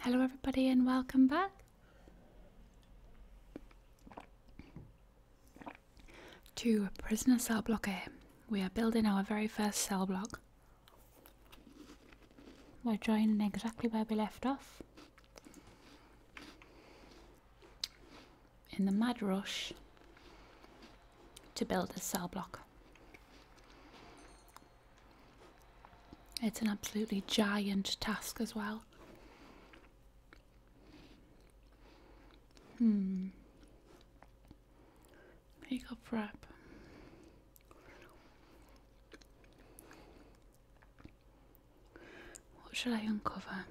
Hello, everybody, and welcome back to Prisoner Cell Block A. We are building our very first cell block. We're joining exactly where we left off. In the mad rush to build a cell block. It's an absolutely giant task as well. Hmm. Eagle prep. What should I uncover?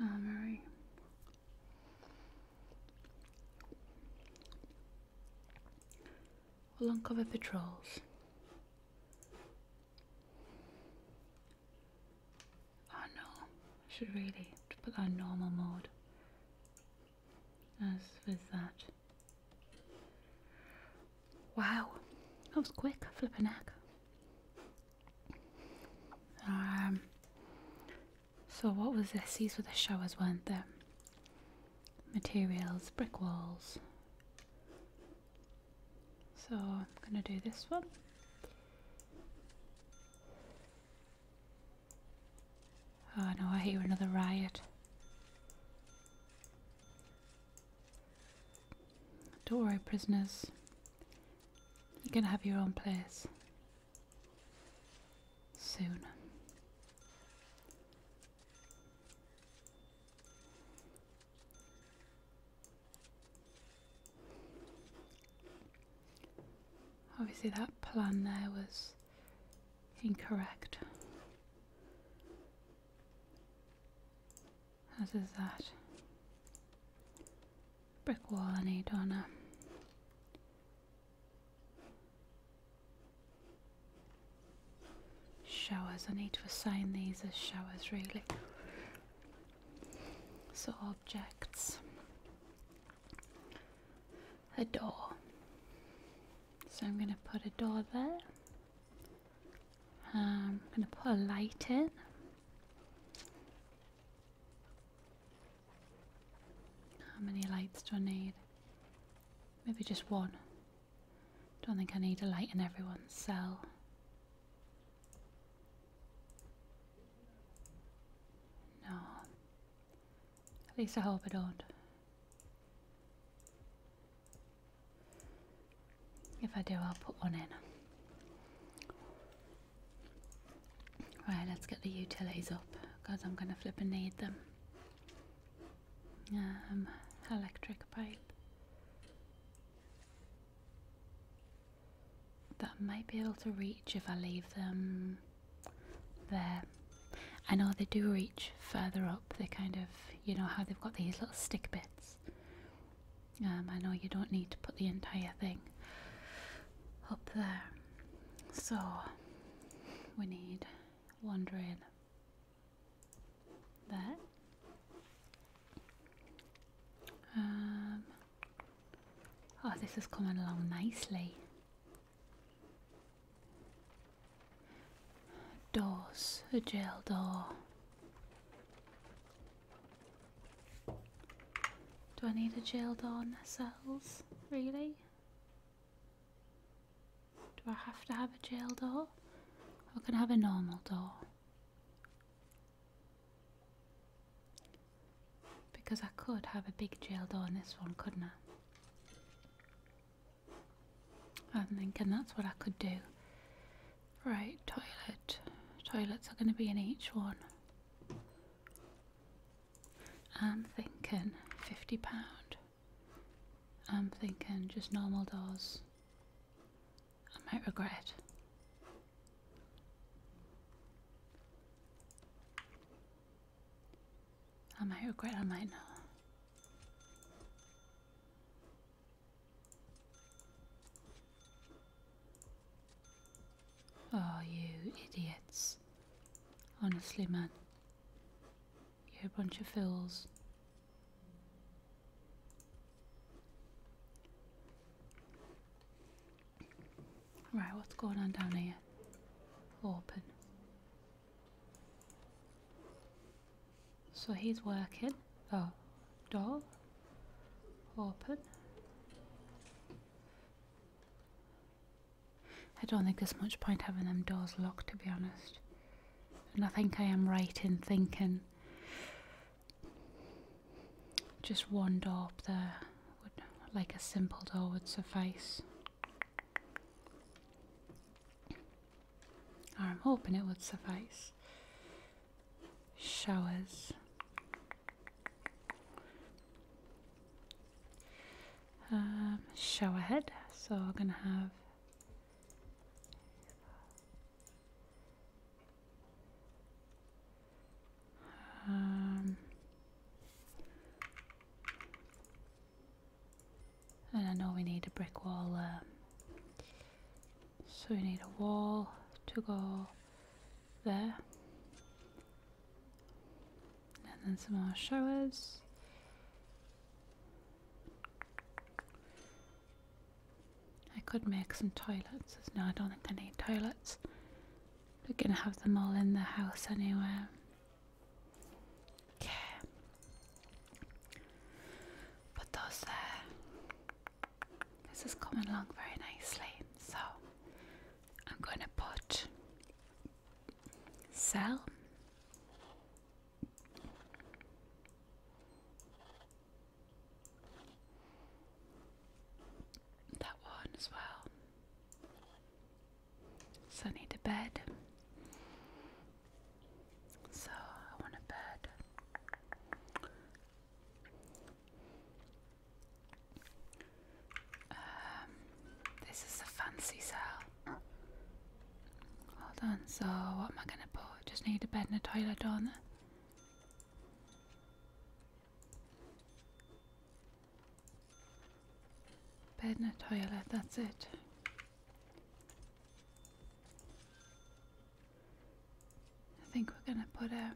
All right. We'll uncover patrols. Oh no, should really put that on normal mode. As with that. Wow, that was quick, flipping heck. Um, so, what was this? These were the showers, weren't there? Materials, brick walls. So, I'm going to do this one. Oh no, I hear another riot. Don't worry, prisoners. You are gonna have your own place soon. Obviously, that plan there was incorrect. How does that? Brick wall I need on showers. I need to assign these as showers really. So objects. A door. So I'm gonna put a door there. Um, I'm gonna put a light in. How many lights do I need? Maybe just one. Don't think I need a light in everyone's cell. No. At least I hope I don't. If I do, I'll put one in. Right, let's get the utilities up because I'm going to flip and need them. Um, electric pipe. That I might be able to reach if I leave them there. I know they do reach further up. They kind of, you know, how they've got these little stick bits. Um, I know you don't need to put the entire thing up there. So we need one drain there. Um, oh, this is coming along nicely. Doors, a jail door. Do I need a jail jailed on cells? Really? Do I have to have a jail door? Or can I have a normal door? Because I could have a big jail door in this one, couldn't I? I'm thinking that's what I could do. Right, toilet. Toilets are going to be in each one. I'm thinking £50. I'm thinking just normal doors. I might regret. I might regret, I might not. Oh, you idiots. Honestly, man. You're a bunch of fools. Right, what's going on down here? Open. So he's working. Oh, door open. I don't think there's much point having them doors locked to be honest. And I think I am right in thinking just one door up there would like a simple door would suffice. I'm hoping it would suffice showers. Um, shower so we're gonna have um, and I know we need a brick wall um, so we need a wall to go there. And then some more showers. I could make some toilets. No, I don't think I need toilets. We're going to have them all in the house anyway. Okay. Put those there. This is coming along very nicely. So I'm going to put sell that one as well. So I need a bed. So I want a bed. Um, this is a fancy cell. Hold on, so what am I gonna put? Just need a bed and a toilet, don't Bed and a toilet, that's it. I think we're gonna put a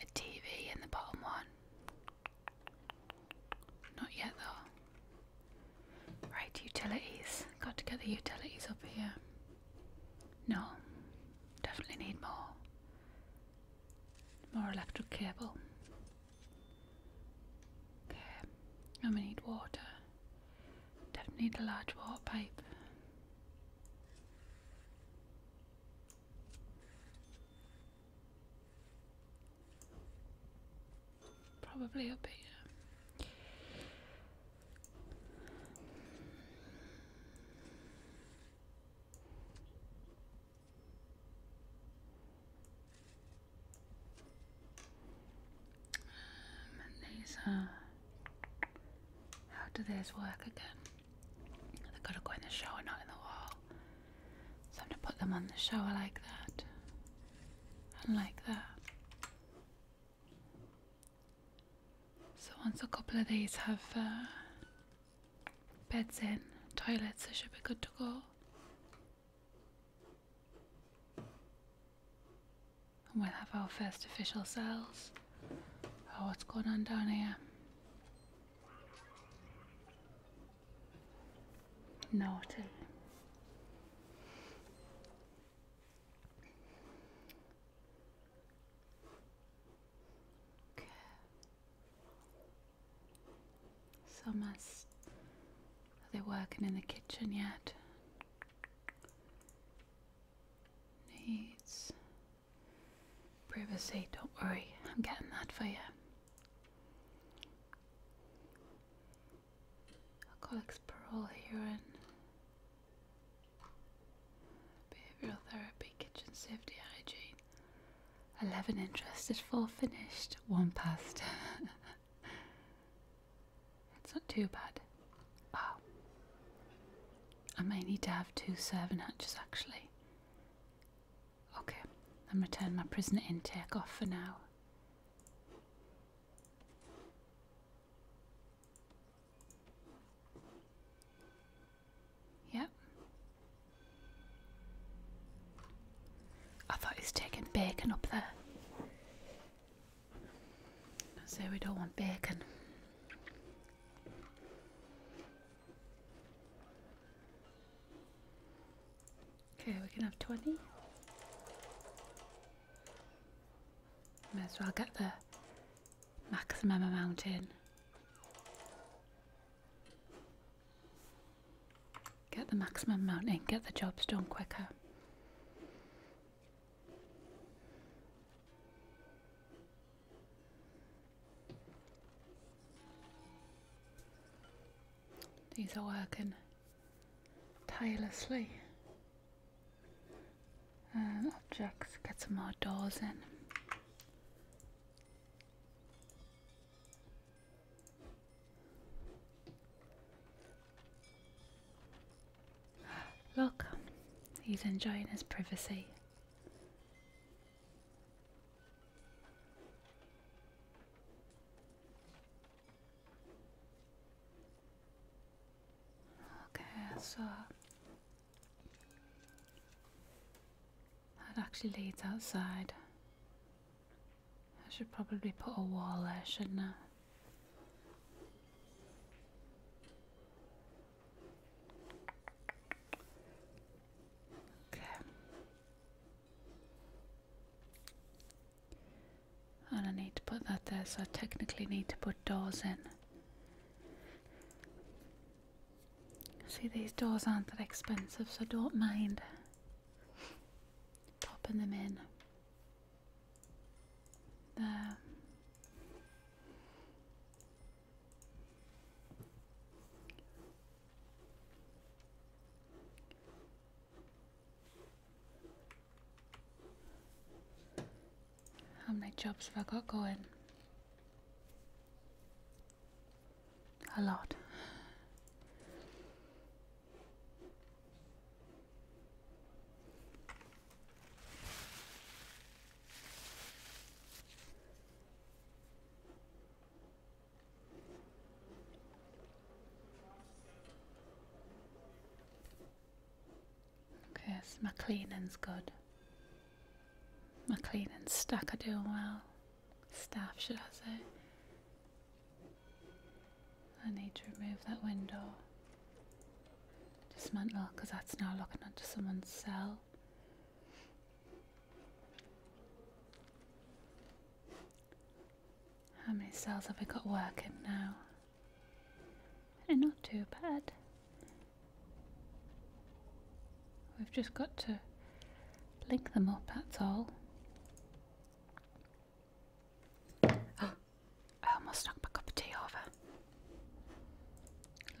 a TV in the bottom one. Not yet though. Right, utilities. Got to get the utilities up here. No, definitely need more. More electric cable. Okay, and we need water. Definitely need a large water pipe. Probably a bit. Um, these are. How do these work again? They've got to go in the shower, not in the wall. So I'm going to put them on the shower like that. And like that. So once a couple of these have uh, beds in, toilets, they should be good to go. And we'll have our first official cells. Oh, what's going on down here? Naughty. Okay. Someone's. Are they working in the kitchen yet? Needs Privacy, don't worry, I'm getting that for you. Alcoholics parole and behavioral therapy, kitchen safety, hygiene. 11 interested, 4 finished, 1 passed. it's not too bad. Oh. I may need to have two serving hatches actually. Okay, I'm going to turn my prisoner intake off for now. Yep. I thought he's taking bacon up there. So we don't want bacon. Okay, we can have 20. May as well get the maximum amount in. Get the maximum amount in, get the jobs done quicker. These are working tirelessly. objects, get some more doors in. Look, he's enjoying his privacy. Okay, so that actually leads outside. I should probably put a wall there, shouldn't I? Okay. And I need to put that there, so I technically need to put doors in. See, these doors aren't that expensive, so don't mind popping them in. There. How many jobs have I got going? A lot. Okay, so my cleaning's good. My cleaning stack are doing well. Staff, should I say. I need to remove that window. Dismantle, because oh, that's now looking onto someone's cell. How many cells have we got working now? Not too bad. We've just got to link them up, that's all. Oh, I almost knocked my cup of tea over.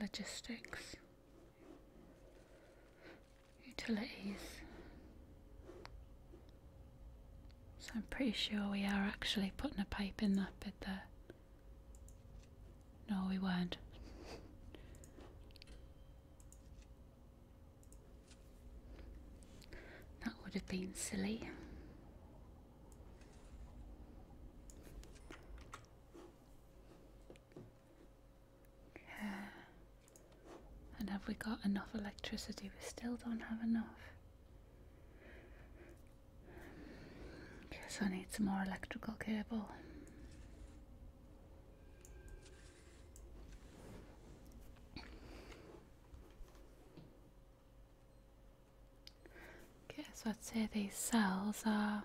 Logistics. Utilities. So I'm pretty sure we are actually putting a pipe in that bit there. No, we weren't. that would have been silly. Yeah. And have we got enough electricity? We still don't have enough. Guess I need some more electrical cable. Guess I'd say these cells are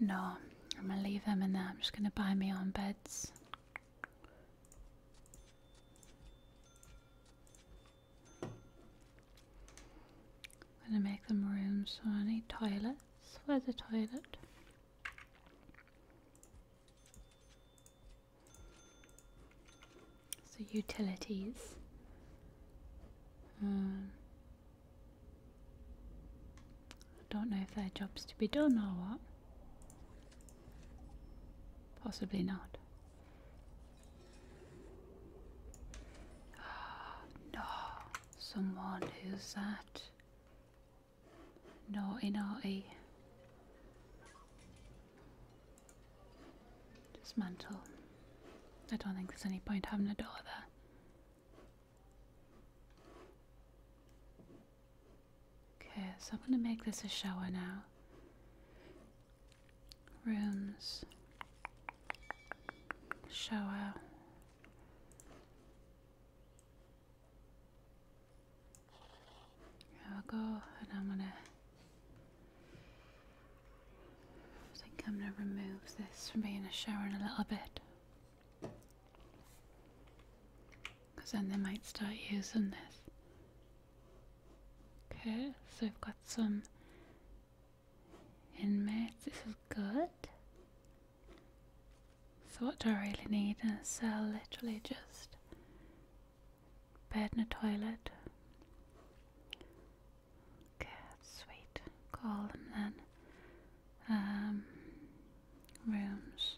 No, I'm gonna leave them in there. I'm just gonna buy me own beds. gonna make them rooms. So I need toilets. Where's the toilet? So utilities. Um, I don't know if their job's to be done or what. Possibly not. Oh, no, someone who's that naughty naughty. Dismantle. I don't think there's any point having a door there. Okay, so I'm going to make this a shower now. Rooms. Shower. I'll go and I'm going to. I think I'm going to remove this from being a shower in a little bit. Because then they might start using this. Okay, so we've got some inmates. This is good. So what do I really need in a cell? Literally just bed and a toilet. Okay, sweet. Call them then um, rooms.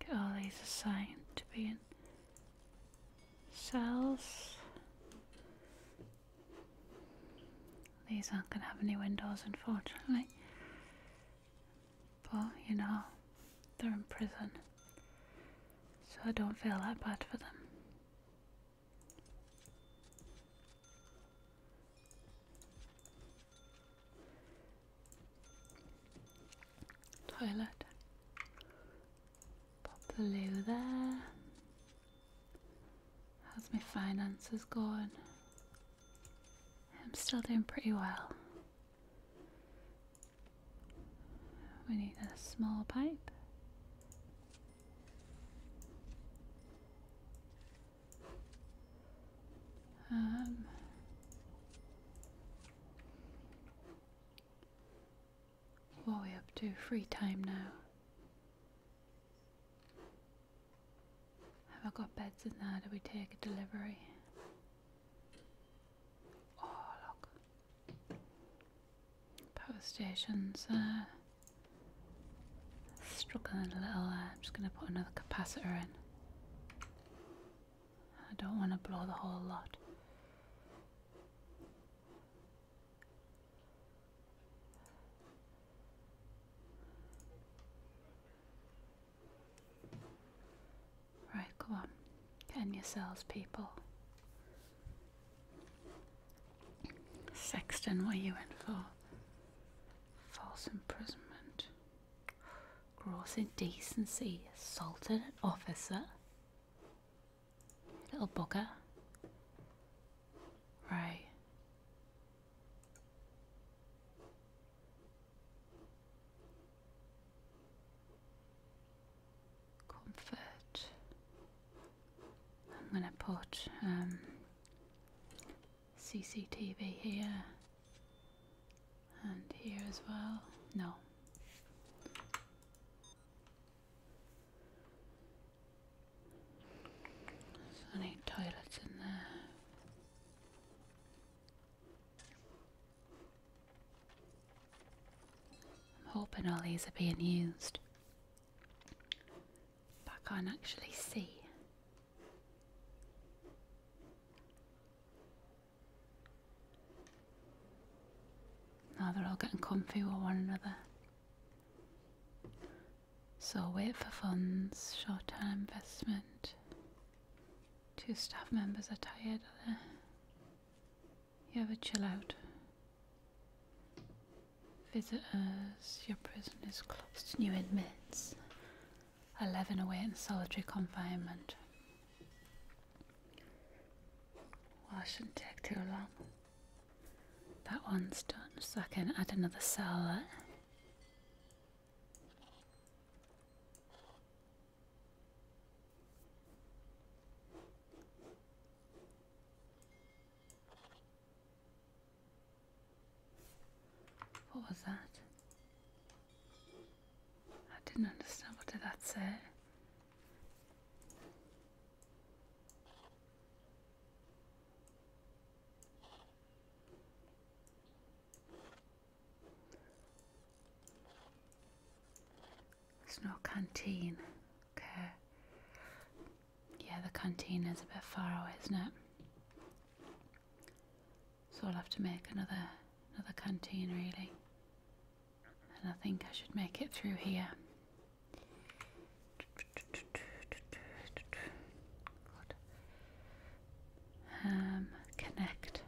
Get all these assigned to be in cells. These aren't going to have any windows, unfortunately. But, you know, they're in prison. So I don't feel that bad for them. Toilet. Pop the loo there. How's my finances gone? I'm still doing pretty well. We need a small pipe. Um, what are we up to? Free time now. Have I got beds in there? Do we take a delivery? Oh, look. Power station's uh, struggling a little. I'm just going to put another capacitor in. I don't want to blow the whole lot. Right, come on. Get in yourselves, people. Sexton, what are you in for? False imprisonment, gross indecency, assaulted an officer. Little booger. Right. Comfort. I'm gonna put um, CCTV here and here as well. No. There's any toilets in there. I'm hoping all these are being used. I can't actually see. Now they're all getting comfy with one another. So wait for funds, short term investment. Two staff members are tired, You have a chill out. Visitors, your prison is closed to new inmates. Eleven away in solitary confinement. Well, I shouldn't take too long. That one's done, so I can add another cell what was that? I didn't understand. What did that say? There's no canteen. Okay. Yeah, the canteen is a bit far away, isn't it? So I'll have to make another another canteen really. And I think I should make it through here. Um, connect.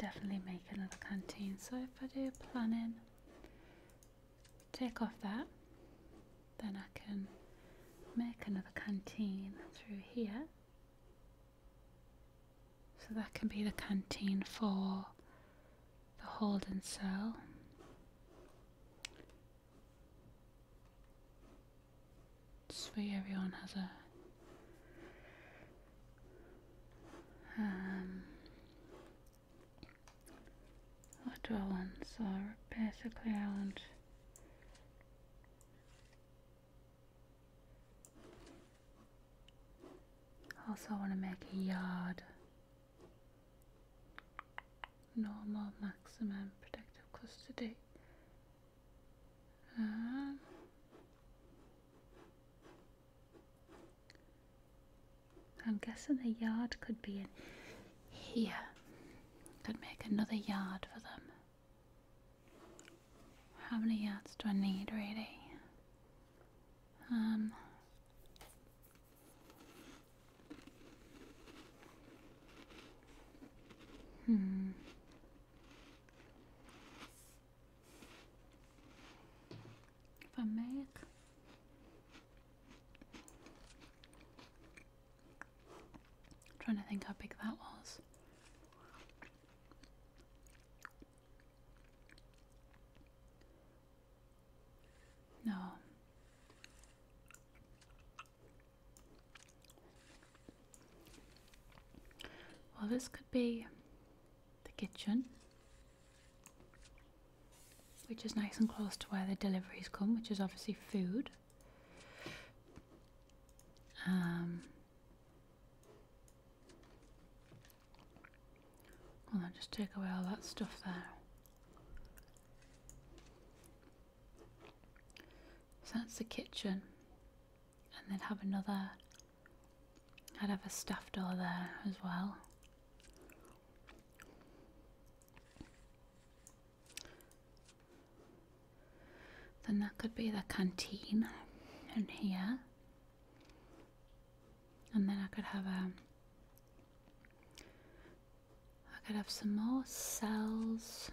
Definitely make another canteen. So if I do planning, take off that, then I can make another canteen through here. So that can be the canteen for the Holden cell. Sweet, everyone has a um, what do I want? So basically, I want. Also want to make a yard normal maximum protective custody. Um, I'm guessing the yard could be in here. Could make another yard for them. How many yards do I need really? Um. Hmm. If I I'm trying to think how big that was. No. Well, this could be the kitchen, which is nice and close to where the deliveries come, which is obviously food. Um, well, I'll just take away all that stuff there. So that's the kitchen. And then have another, I'd have a staff door there as well. Then that could be the canteen in here and then I could have a I could have some more cells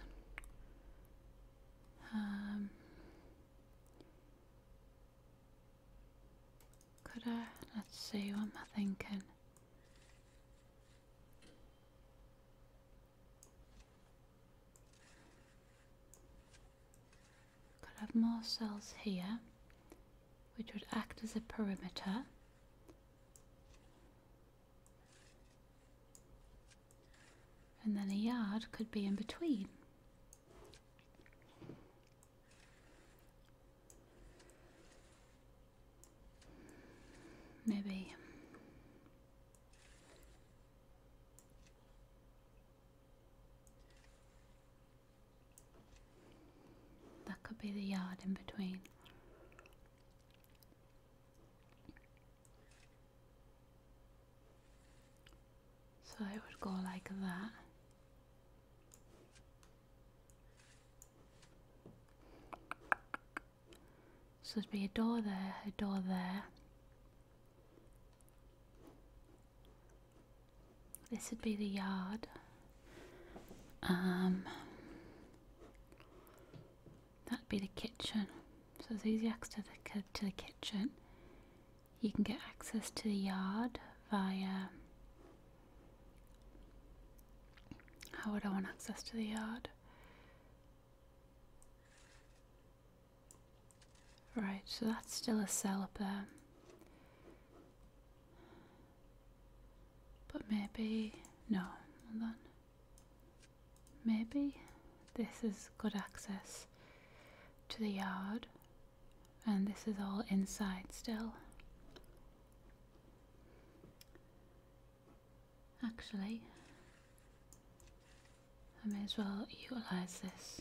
um, could I let's see what i am thinking could have more cells here, which would act as a perimeter. And then a yard could be in between. Maybe. That could be the yard in between. So it would go like that. So there'd be a door there, a door there, this would be the yard. Um, that'd be the kitchen. So there's easy access to the, to the kitchen. You can get access to the yard via. How would I want access to the yard? Right, so that's still a cell up there. But maybe, no, hold on. Maybe this is good access to the yard and this is all inside still. Actually, I may as well utilise this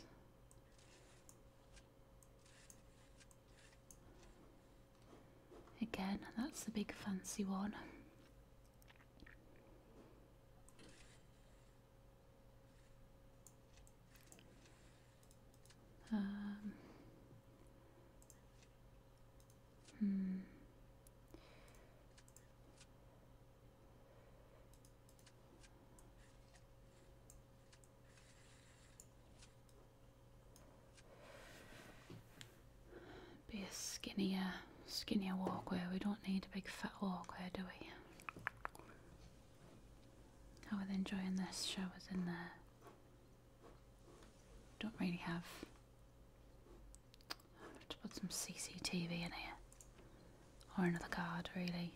Again, that's the big fancy one. Um, hmm. Be a skinnier, skinnier walkway. We don't need a big fat walkway, do we? I was enjoying this. Show Showers in there. Don't really have. to put some CCTV in here, or another guard, really.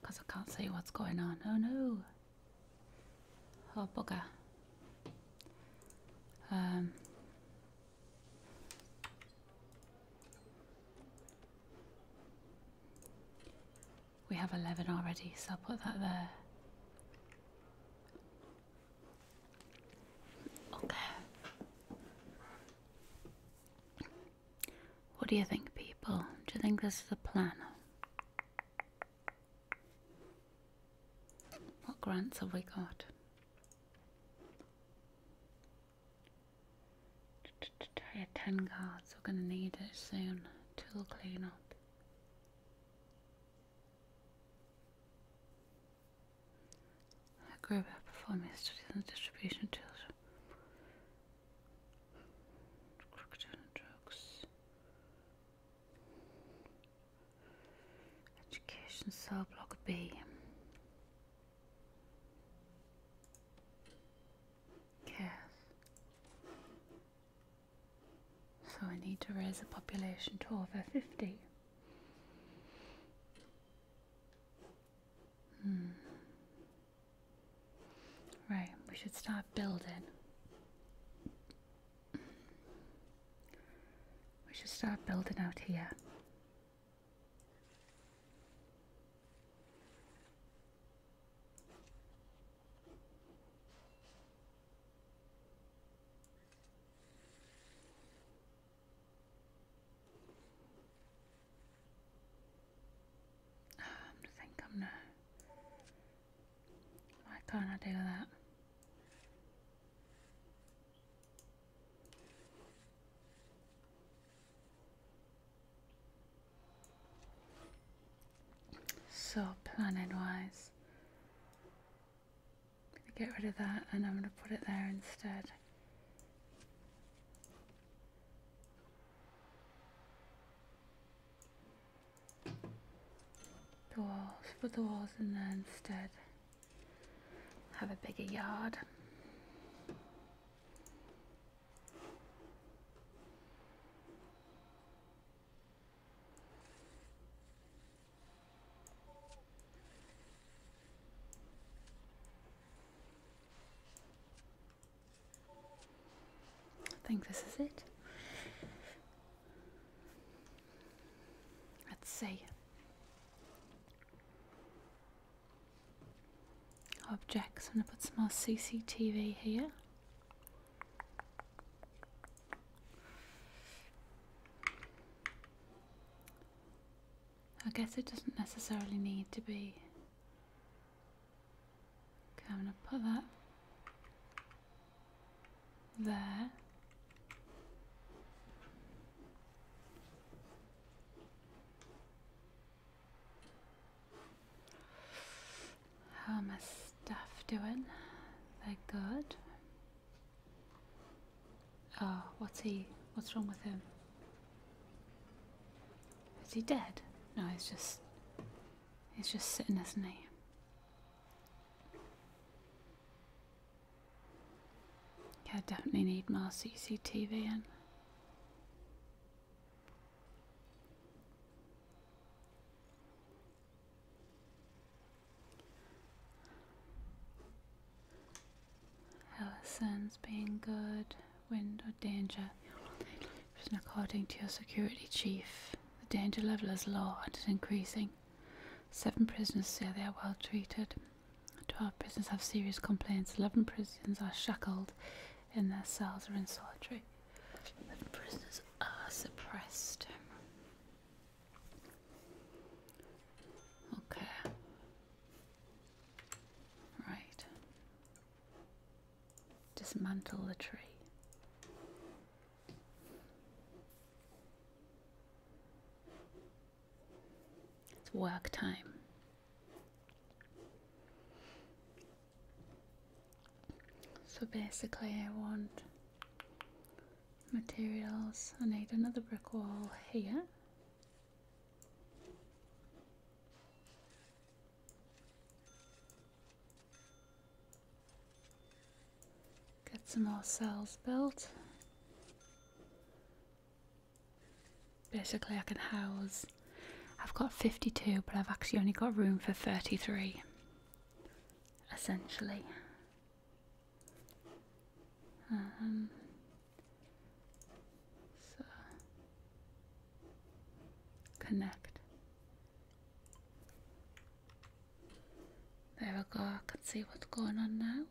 Because I can't see what's going on. Oh no! Oh bugger. Um. We have 11 already, so I'll put that there. Okay. What do you think, people? Do you think this is a plan? What grants have we got? 10 guards. we're going to need it soon. Tool cleanup. I grew up performing studies on distribution tools, crookedon drugs, education cell block B. Cares. So I need to raise the population to over fifty. Hmm. Right, we should start building. We should start building out here. Um, I am no. Why can't I do that? So planet wise, I'm gonna get rid of that and I'm gonna put it there instead. The walls, put the walls in there instead. Have a bigger yard. I think this is it. Let's see. Objects. I'm going to put some more CCTV here. I guess it doesn't necessarily need to be. Okay, I'm going to put that there. How am I stuff doing? They're good. Oh, what's he? What's wrong with him? Is he dead? No, he's just. He's just sitting, isn't he? Yeah, I definitely need more CCTV in health sense being good, wind or danger. According to your security chief, the danger level is low and is increasing. Seven prisoners say they are well treated. Twelve prisoners have serious complaints. Eleven prisoners are shackled and their cells are in solitary. The prisoners are suppressed. Okay. Right. Dismantle the tree. It's work time. So basically I want materials. I need another brick wall here Get some more cells built. Basically I can house, I've got 52 but I've actually only got room for 33 essentially. Um, so connect. There we go, I can see what's going on now.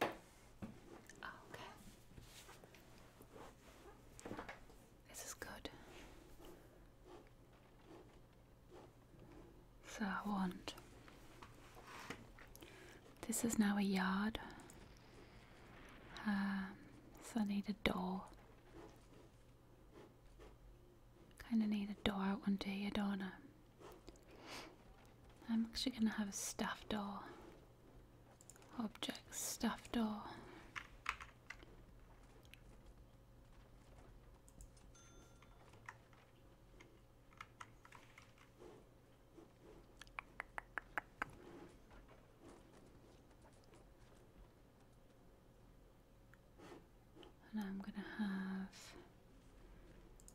Okay. This is good. So I want. This is now a yard. Um, so I need a door. Kind of need a door out one day, I don't I'm actually going to have a staff door. Object staff door. And I'm going to have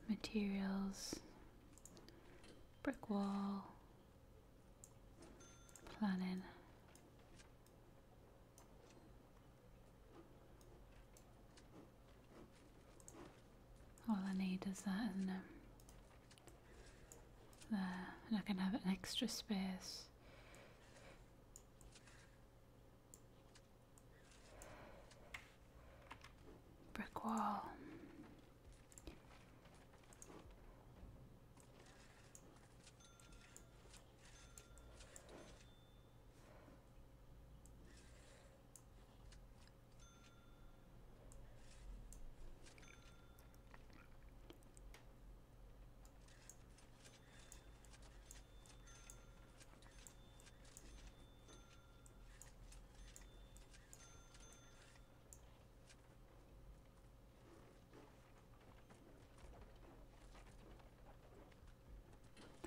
materials, brick wall, planning. All I need is that, isn't it? Um, there, and I can have an extra space. Brick wall.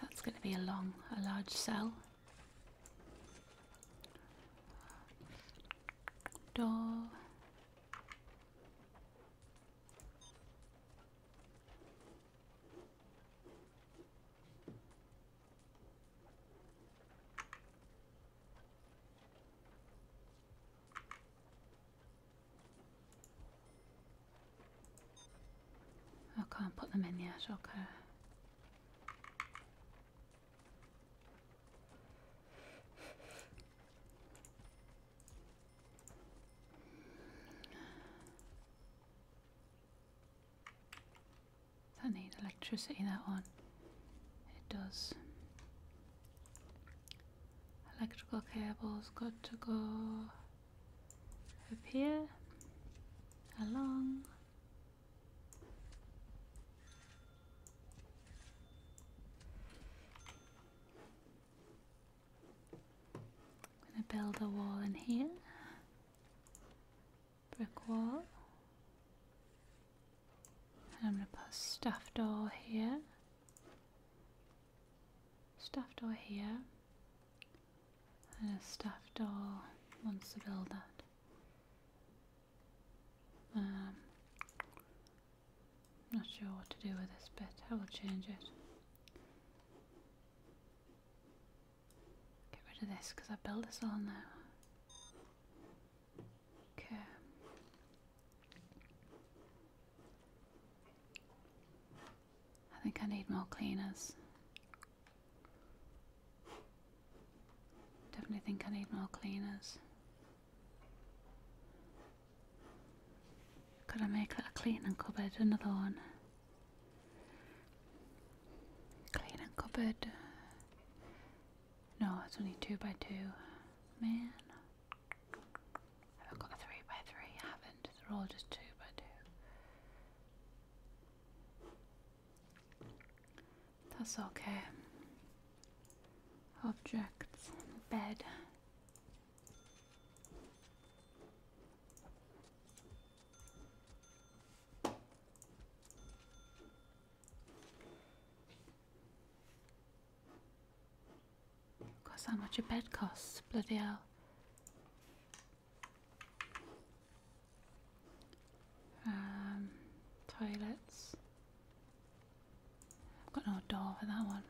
That's going to be a long, a large cell doll. I can't put them in yet, okay. Does that need electricity, that one? It does. Electrical cables got to go up here, along, I'm going to build a wall in here. Brick wall. And I'm going to put a stuffed doll here. Stuffed doll here. And a stuffed doll wants to build that. I'm um, not sure what to do with this bit. I will change it. Get rid of this because I built this all now. Okay. I think I need more cleaners. Definitely think I need more cleaners. Could I make a cleaning cupboard, another one? Cleaning cupboard. No, it's only two by two. Man. Have I got a three by three? haven't. They're all just two by two. That's okay. Objects, bed. Because how much a bed costs, bloody hell. Um, toilets. I've got no door for that one.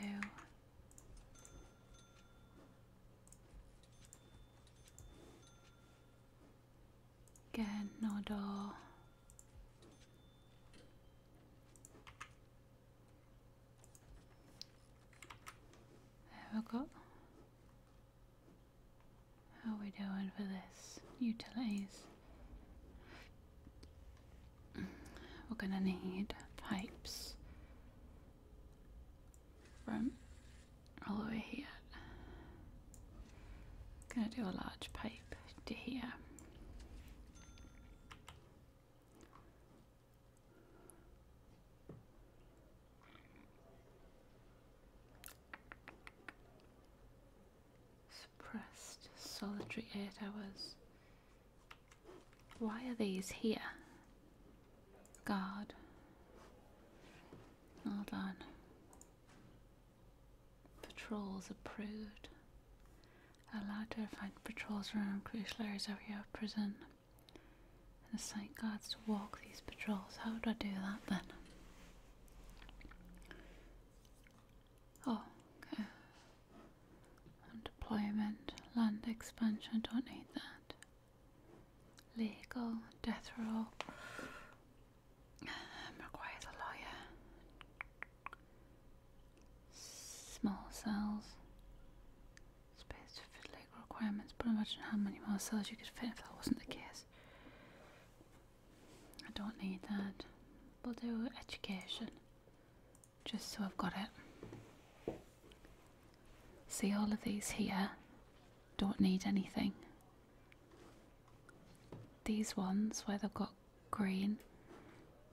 Loo. Again, no door. Have got? How are we doing for this? Utilities. We're gonna need pipes from all the way here. Gonna do a large pipe to here. Suppressed solitary eight hours. Why are these here? Guard. Well done. Patrols approved. Allowed to find patrols around crucial areas of your prison the site guards to walk these patrols. How would I do that then? Oh, okay. Employment, land expansion, don't need that. Legal, death row. requires a lawyer. Small cells space to fit leg requirements, but imagine how many more cells you could fit if that wasn't the case. I don't need that. We'll do education, just so I've got it. See all of these here? Don't need anything. These ones where they've got green,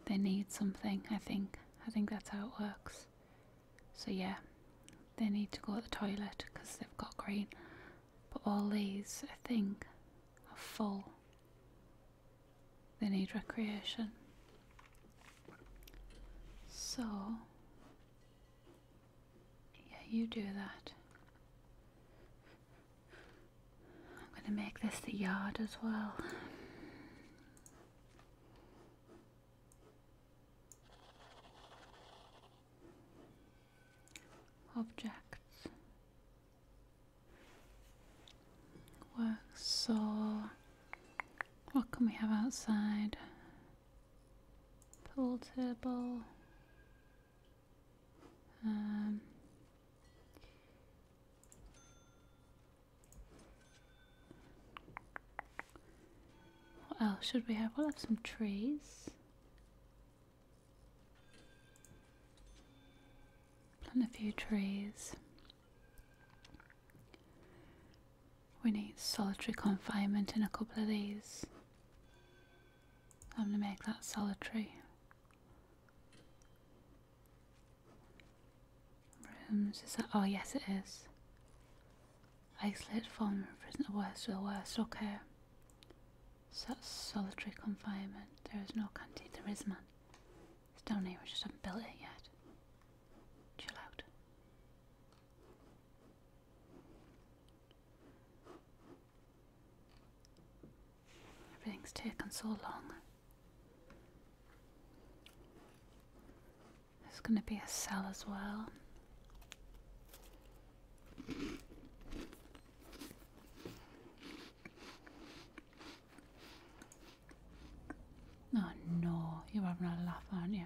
they need something, I think. I think that's how it works. So yeah, they need to go to the toilet because they've got green. But all these, I think, are full. They need recreation. So, yeah, you do that. I'm going to make this the yard as well objects works so what can we have outside pool table um, what else should we have? We'll have some trees. Plant a few trees. We need solitary confinement in a couple of these. I'm going to make that solitary. Rooms Oh yes, it is. Isolated form of prison, the oh, worst of the worst. Okay. Such solitary confinement. There is no canteen. There is none. It's down here. We just haven't built it yet. Chill out. Everything's taken so long. There's going to be a cell as well. Oh no, you're having a laugh, aren't you?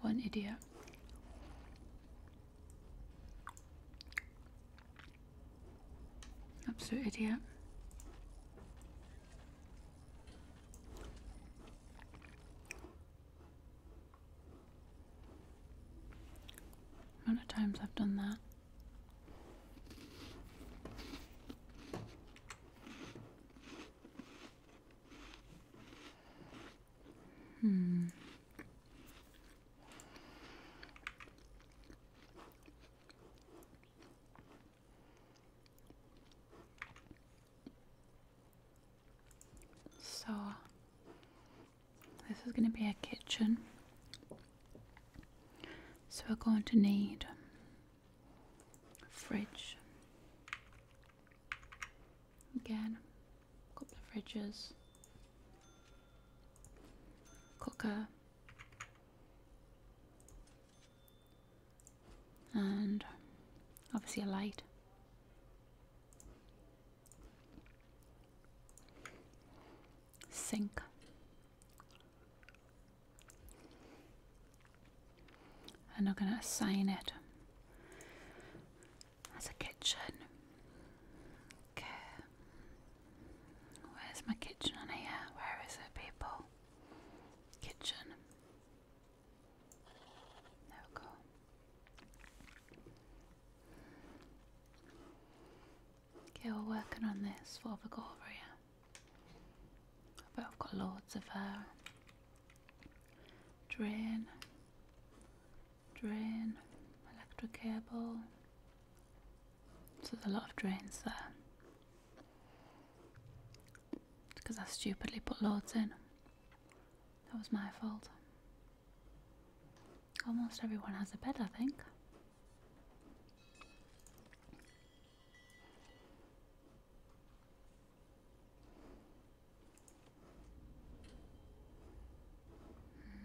What an idiot. Absolute idiot. How many times I've done that. Hmm. So, this is going to be a kitchen. So, we're going to need a fridge. Again, a couple of fridges, cooker and obviously a light. Sink. And I'm going to assign it as a kitchen. Okay. Where's my kitchen on here? Where is it, people? Kitchen. There we go. Okay, we're working on this. for have I got over I have got loads of uh, drain, drain, electric cable, so there's a lot of drains there. Because I stupidly put loads in. That was my fault. Almost everyone has a bed, I think.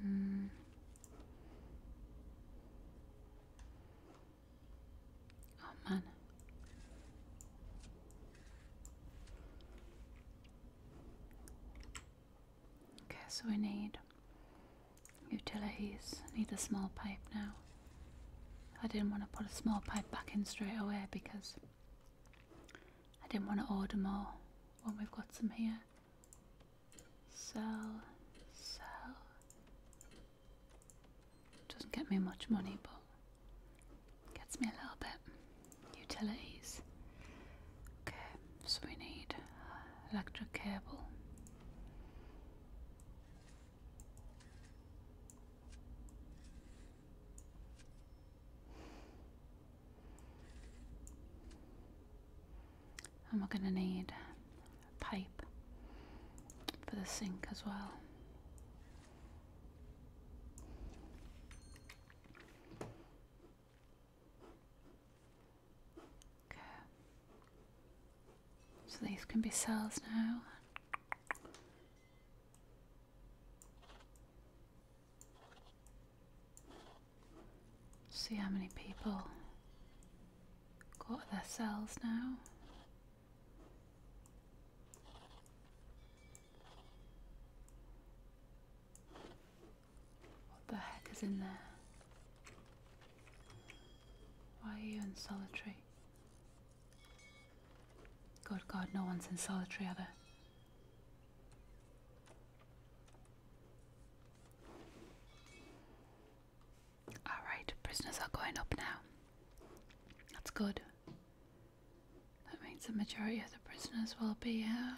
Mm. Oh man. Okay, so we need utilities. need a small pipe now. I didn't want to put a small pipe back in straight away because I didn't want to order more when we've got some here. Sell, sell, doesn't get me much money, but gets me a little bit. Utilities. Okay, so we need electric cable. And we're going to need a pipe for the sink as well. Okay. So these can be cells now. See how many people got their cells now. What the heck is in there? Why are you in solitary? Good God, no one's in solitary, are Alright, prisoners are going up now. That's good. That means the majority of the prisoners will be here.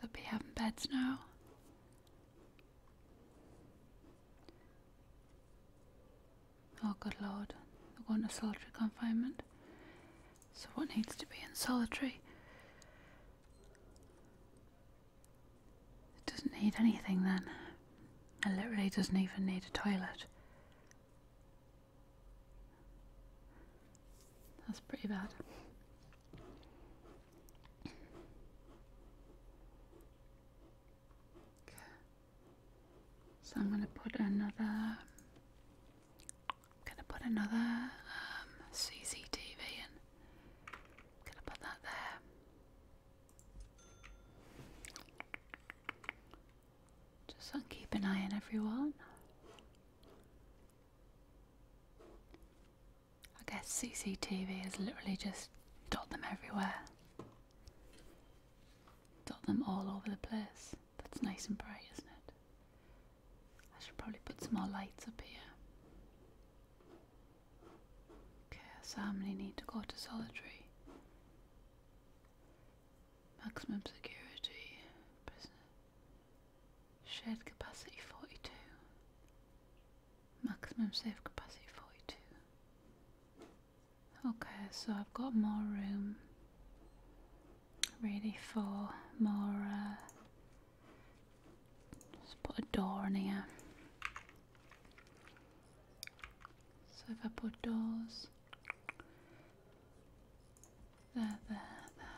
They'll be having beds now. Oh, good lord. They're going to solitary confinement. So, what needs to be in solitary? It doesn't need anything then. It literally doesn't even need a toilet. That's pretty bad. So I'm going to put another I'm gonna put another um, CCTV and gonna put that there. Just keep an eye on everyone. I guess CCTV has literally just dot them everywhere. Dot them all over the place. That's nice and bright, isn't it? I should probably put some more lights up here. Okay, so how many need to go to solitary? Maximum security, prisoner. Shared capacity 42. Maximum safe capacity 42. Okay, so I've got more room really for more uh, just put a door in here. So if I put doors there, there, there.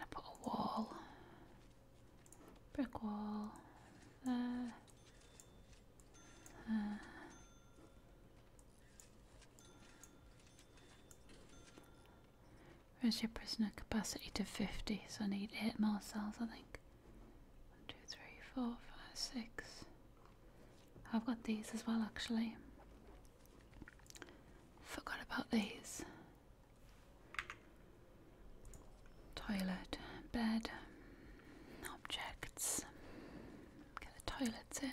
I put a wall, brick wall, there, there, Raise your prisoner capacity to 50, so I need 8 more cells, I think. 1, 2, 3, 4, 5, 6. I've got these as well, actually. Forgot about these. Toilet, bed, objects. Get the toilets in.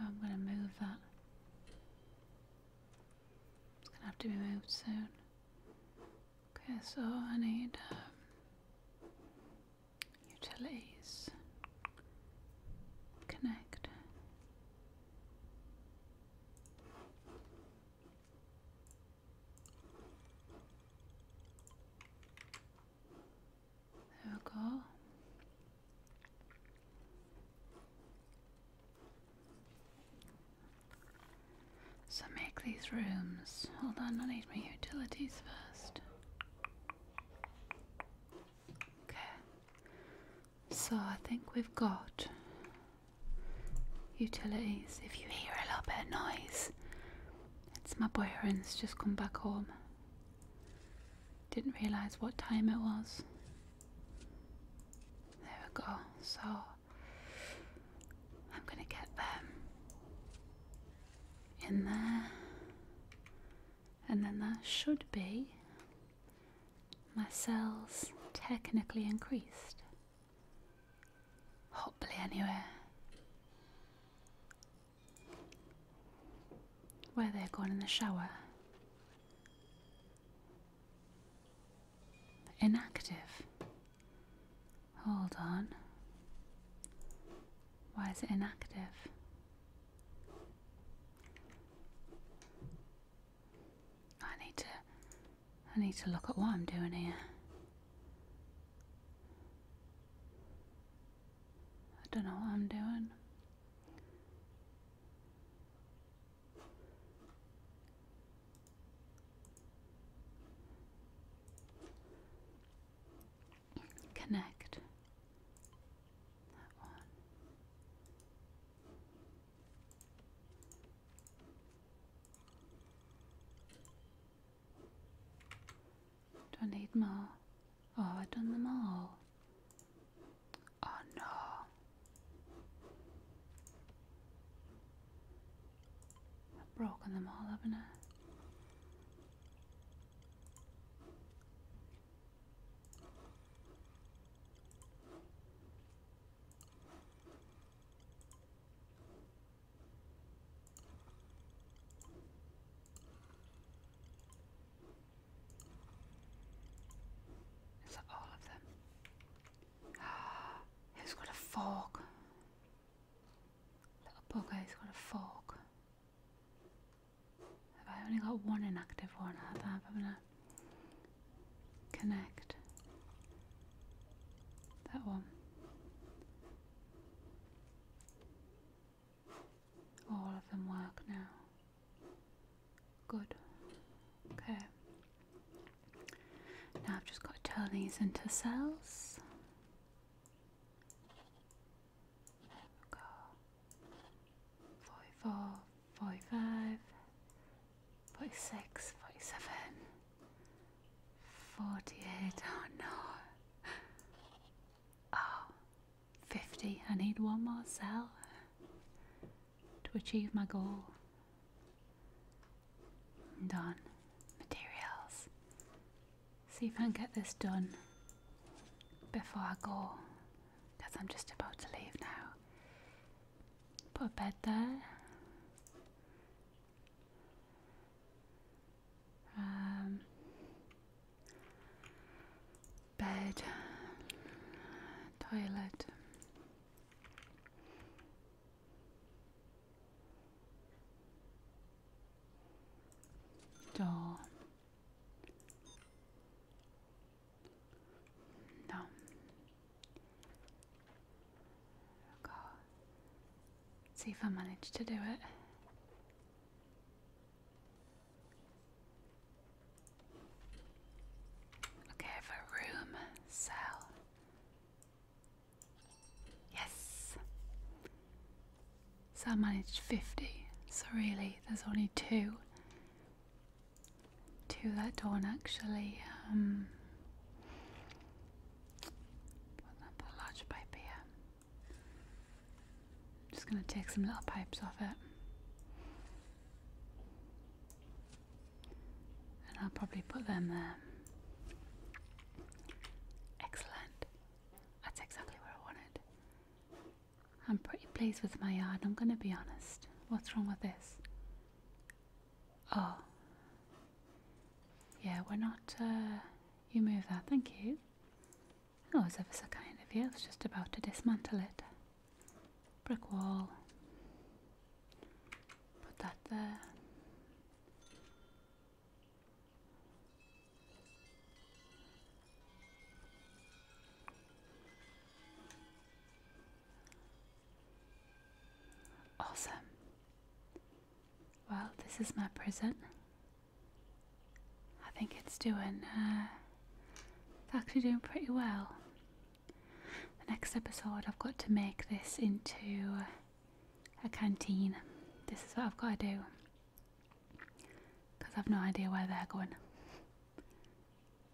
I'm going to move that. It's going to have to be moved soon. Okay, so I need um, utilities. Connect. There we go. So make these rooms. Hold on, I need my utilities first. Okay. So I think we've got utilities. If you hear a little bit of noise, it's my boyfriend's just come back home. Didn't realise what time it was. There we go. So I'm gonna get them in there, and then that should be my cells technically increased. Hopefully, anywhere where they're going in the shower. Inactive. Hold on. Why is it inactive? I need to I need to look at what I'm doing here. I don't know what I'm doing. Connect that one. Do I need more? Oh, I've done them all. Oh no. I've broken them all, haven't I? Is that all of them? Ah, who's got a fork? Little bugger's got a fork. Have I only got one inactive one? Have I, connect. That one. All of them work now. Good. Okay. Now I've just got to turn these into cells. Go. 46, 47, 48, oh no. Oh, 50, I need one more cell to achieve my goal. Done. Materials. See if I can get this done before I go, because I'm just about to leave now. Put that um, bed, toilet. Door. No, Go. See if I manage to do it. Okay, for room, cell. Yes! So I managed 50, so really there's only two to that dawn actually. Um, put that large pipe here. Just gonna take some little pipes off it. And I'll probably put them there. Excellent. That's exactly what I wanted. I'm pretty pleased with my yard, I'm gonna be honest. What's wrong with this? Oh. Yeah, we're not. Uh, you move that, thank you. Oh, was ever so kind of you. I was just about to dismantle it. Brick wall. Put that there. Awesome. Well, this is my prison. I think it's doing, uh, it's actually doing pretty well. The next episode, I've got to make this into a canteen. This is what I've got to do. Because I've no idea where they're going.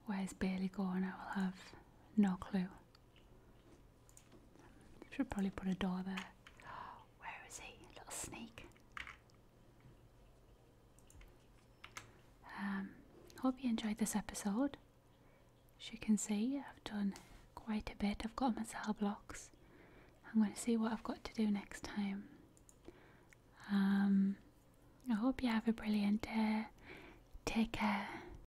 Where's Bailey going? I will have no clue. Should probably put a door there. Where is he? Little snake. Um, hope you enjoyed this episode. As you can see, I've done quite a bit. I've got myself cell blocks. I'm going to see what I've got to do next time. Um, I hope you have a brilliant day. Take care.